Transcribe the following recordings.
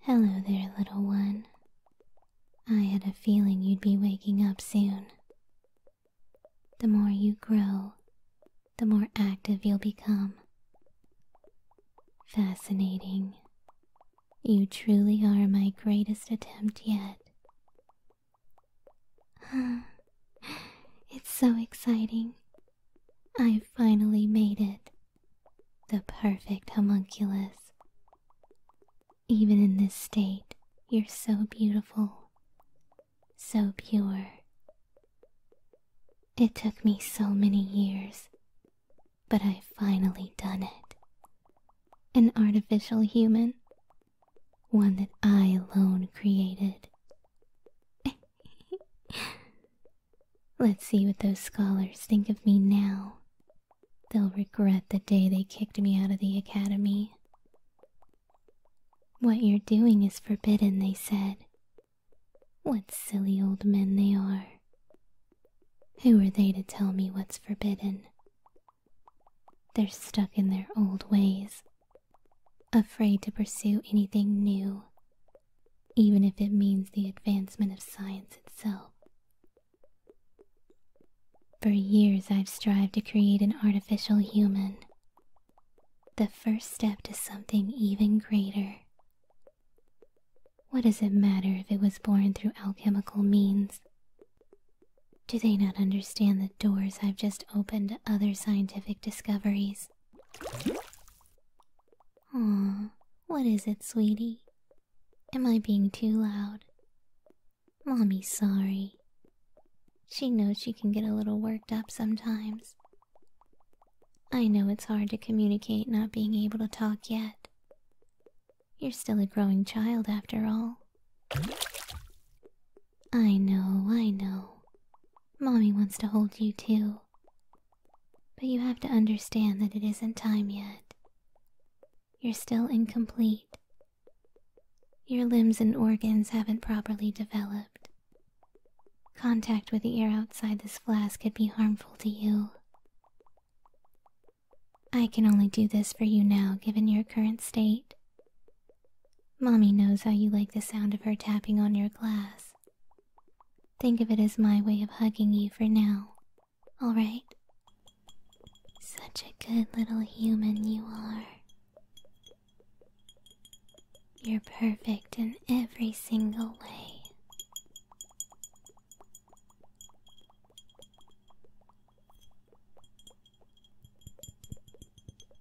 Hello there, little one. I had a feeling you'd be waking up soon. The more you grow, the more active you'll become. Fascinating. You truly are my greatest attempt yet. it's so exciting I finally made it. The perfect homunculus. Even in this state, you're so beautiful, so pure. It took me so many years, but I finally done it. An artificial human, one that I alone created. Let's see what those scholars think of me now. They'll regret the day they kicked me out of the academy. What you're doing is forbidden, they said. What silly old men they are. Who are they to tell me what's forbidden? They're stuck in their old ways, afraid to pursue anything new, even if it means the advancement of science itself. For years, I've strived to create an artificial human, the first step to something even greater. What does it matter if it was born through alchemical means? Do they not understand the doors I've just opened to other scientific discoveries? Aw, what is it, sweetie? Am I being too loud? Mommy's sorry. She knows she can get a little worked up sometimes. I know it's hard to communicate not being able to talk yet. You're still a growing child after all. I know, I know. Mommy wants to hold you too. But you have to understand that it isn't time yet. You're still incomplete. Your limbs and organs haven't properly developed. Contact with the air outside this flask could be harmful to you. I can only do this for you now, given your current state. Mommy knows how you like the sound of her tapping on your glass. Think of it as my way of hugging you for now, alright? Such a good little human you are. You're perfect in every single way.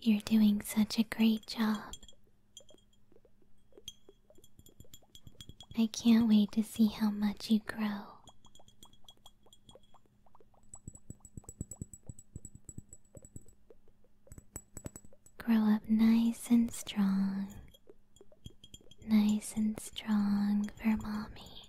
You're doing such a great job. I can't wait to see how much you grow. Grow up nice and strong. Nice and strong for mommy.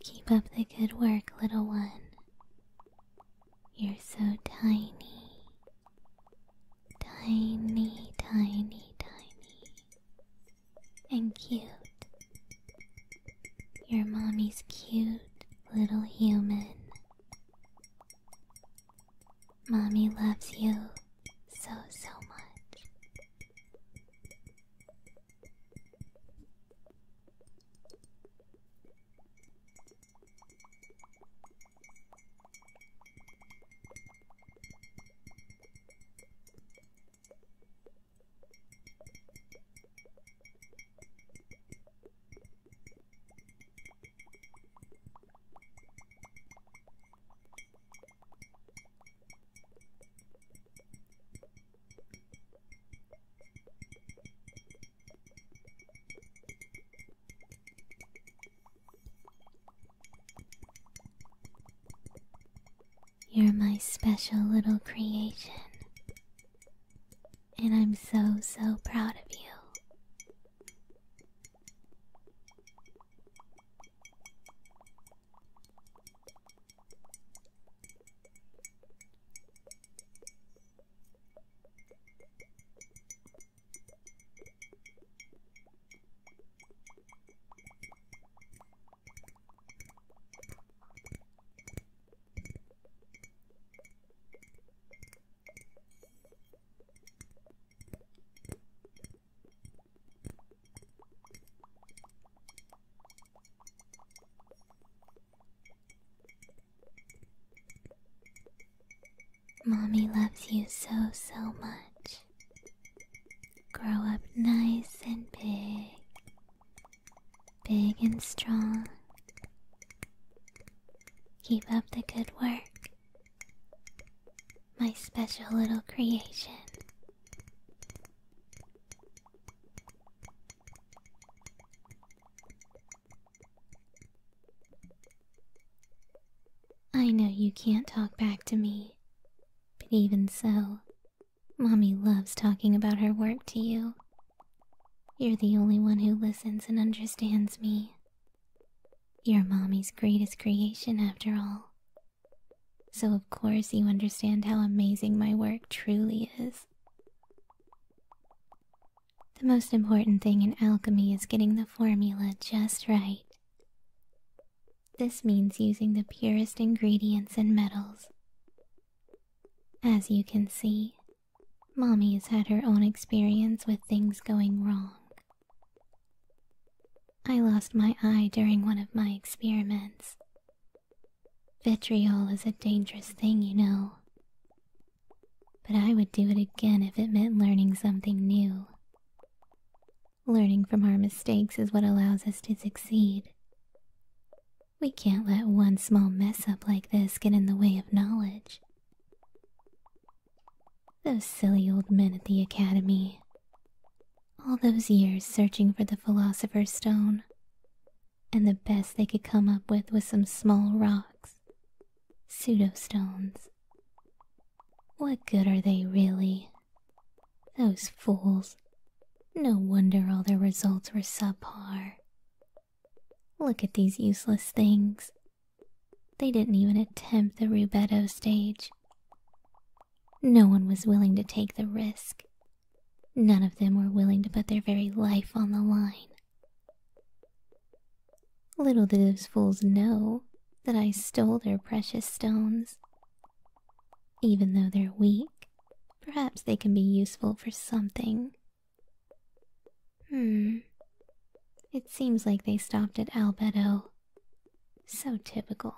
Keep up the good work, little one. You're so tiny. Tiny, tiny, tiny. And cute. Your mommy's cute little human. Mommy loves you so, so much. You're my special little creation and I'm so, so proud of you. Mommy loves you so, so much. Grow up nice and big big and strong. Keep up the good work, my special little creation. I know you can't talk back to me, but even so, Mommy loves talking about her work to you you're the only one who listens and understands me. You're mommy's greatest creation, after all. So, of course, you understand how amazing my work truly is. The most important thing in alchemy is getting the formula just right. This means using the purest ingredients and metals. As you can see, Mommy's had her own experience with things going wrong. I lost my eye during one of my experiments. Vitriol is a dangerous thing, you know. But I would do it again if it meant learning something new. Learning from our mistakes is what allows us to succeed. We can't let one small mess up like this get in the way of knowledge. Those silly old men at the academy. All those years searching for the Philosopher's Stone. And the best they could come up with was some small rocks. Pseudostones. What good are they really? Those fools. No wonder all their results were subpar. Look at these useless things. They didn't even attempt the rubedo stage. No one was willing to take the risk. None of them were willing to put their very life on the line. Little did those fools know that I stole their precious stones. Even though they're weak, perhaps they can be useful for something. Hmm. It seems like they stopped at Albedo. So typical.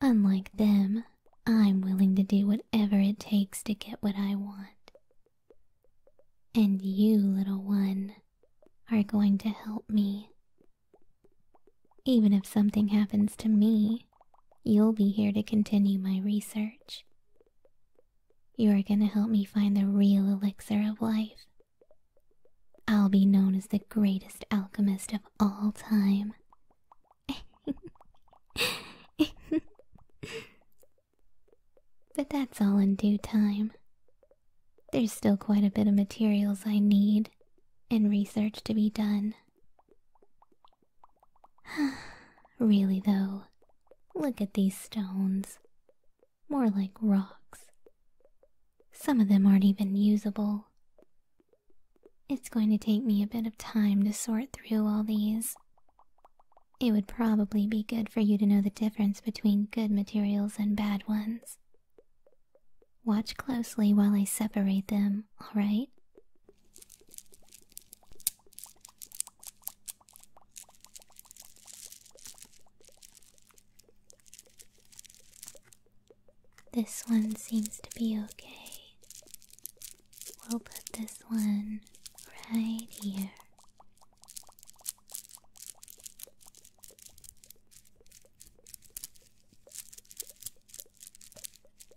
Unlike them, I'm willing to do whatever it takes to get what I want. And you, little one, are going to help me. Even if something happens to me, you'll be here to continue my research. You are going to help me find the real elixir of life. I'll be known as the greatest alchemist of all time. but that's all in due time. There's still quite a bit of materials I need and research to be done. really, though, look at these stones. More like rocks. Some of them aren't even usable. It's going to take me a bit of time to sort through all these. It would probably be good for you to know the difference between good materials and bad ones. Watch closely while I separate them, alright? This one seems to be okay. We'll put this one right here.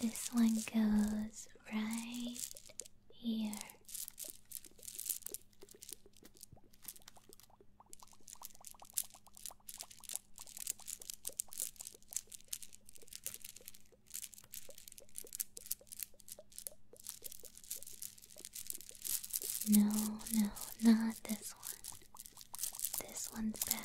This one goes right here. No, no, not this one. This one's bad.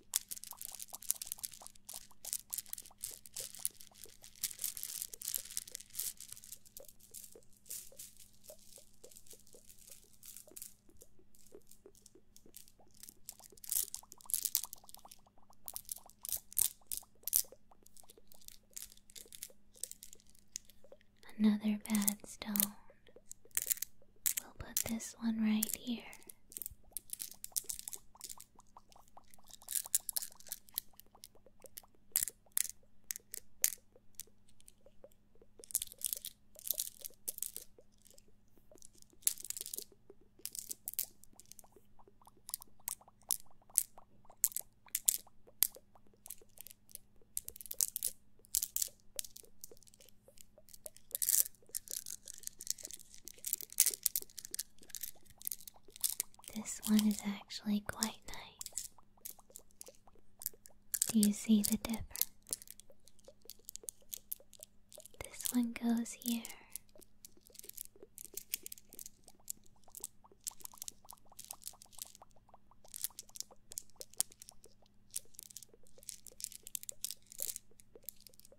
Another bad stone. We'll put this one right here. This one is actually quite nice. Do you see the difference? This one goes here.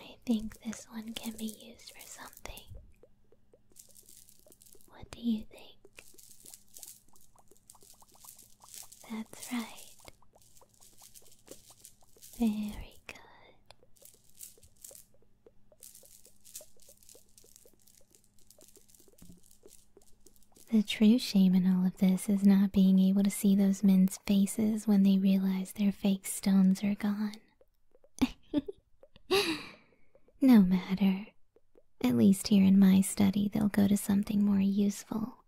I think this one can be used for something. What do you think? That's right. Very good. The true shame in all of this is not being able to see those men's faces when they realize their fake stones are gone. no matter. At least here in my study, they'll go to something more useful.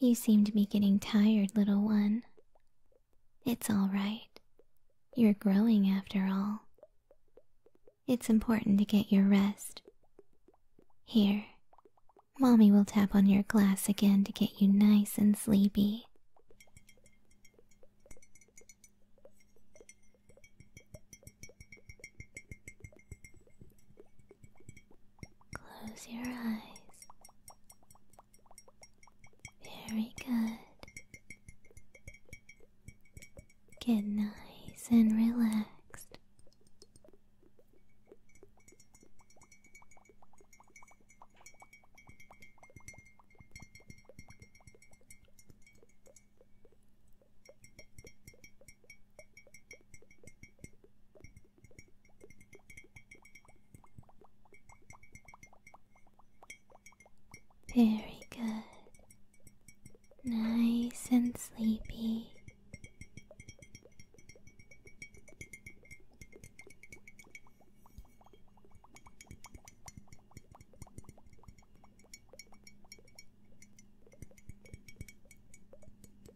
You seem to be getting tired, little one. It's all right. You're growing after all. It's important to get your rest. Here, Mommy will tap on your glass again to get you nice and sleepy. Close your eyes. Very good. Get nice and relaxed. Very good. Nice and sleepy.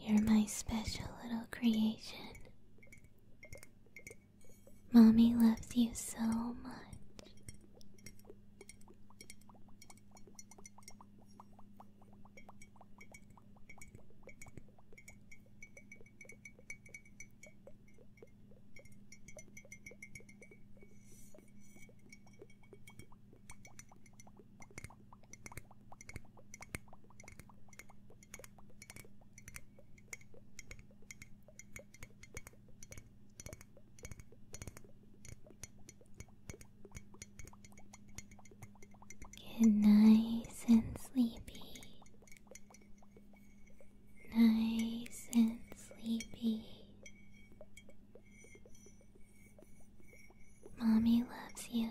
You're my special little creation. Mommy loves you so much. Get nice and sleepy. Nice and sleepy. Mommy loves you.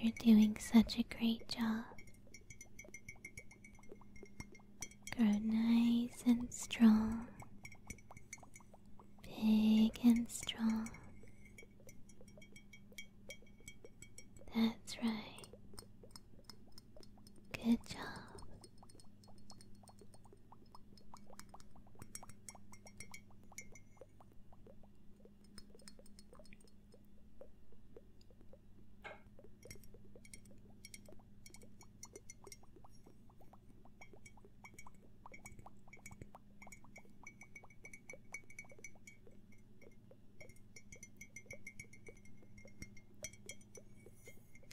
You're doing such a great job. Grow nice and strong, big and strong. That's right. Good job.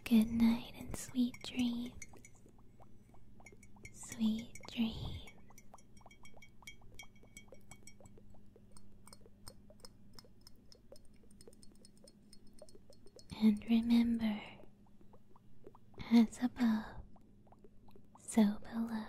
Good night and sweet dreams. Sweet dreams. And remember, as above, so below.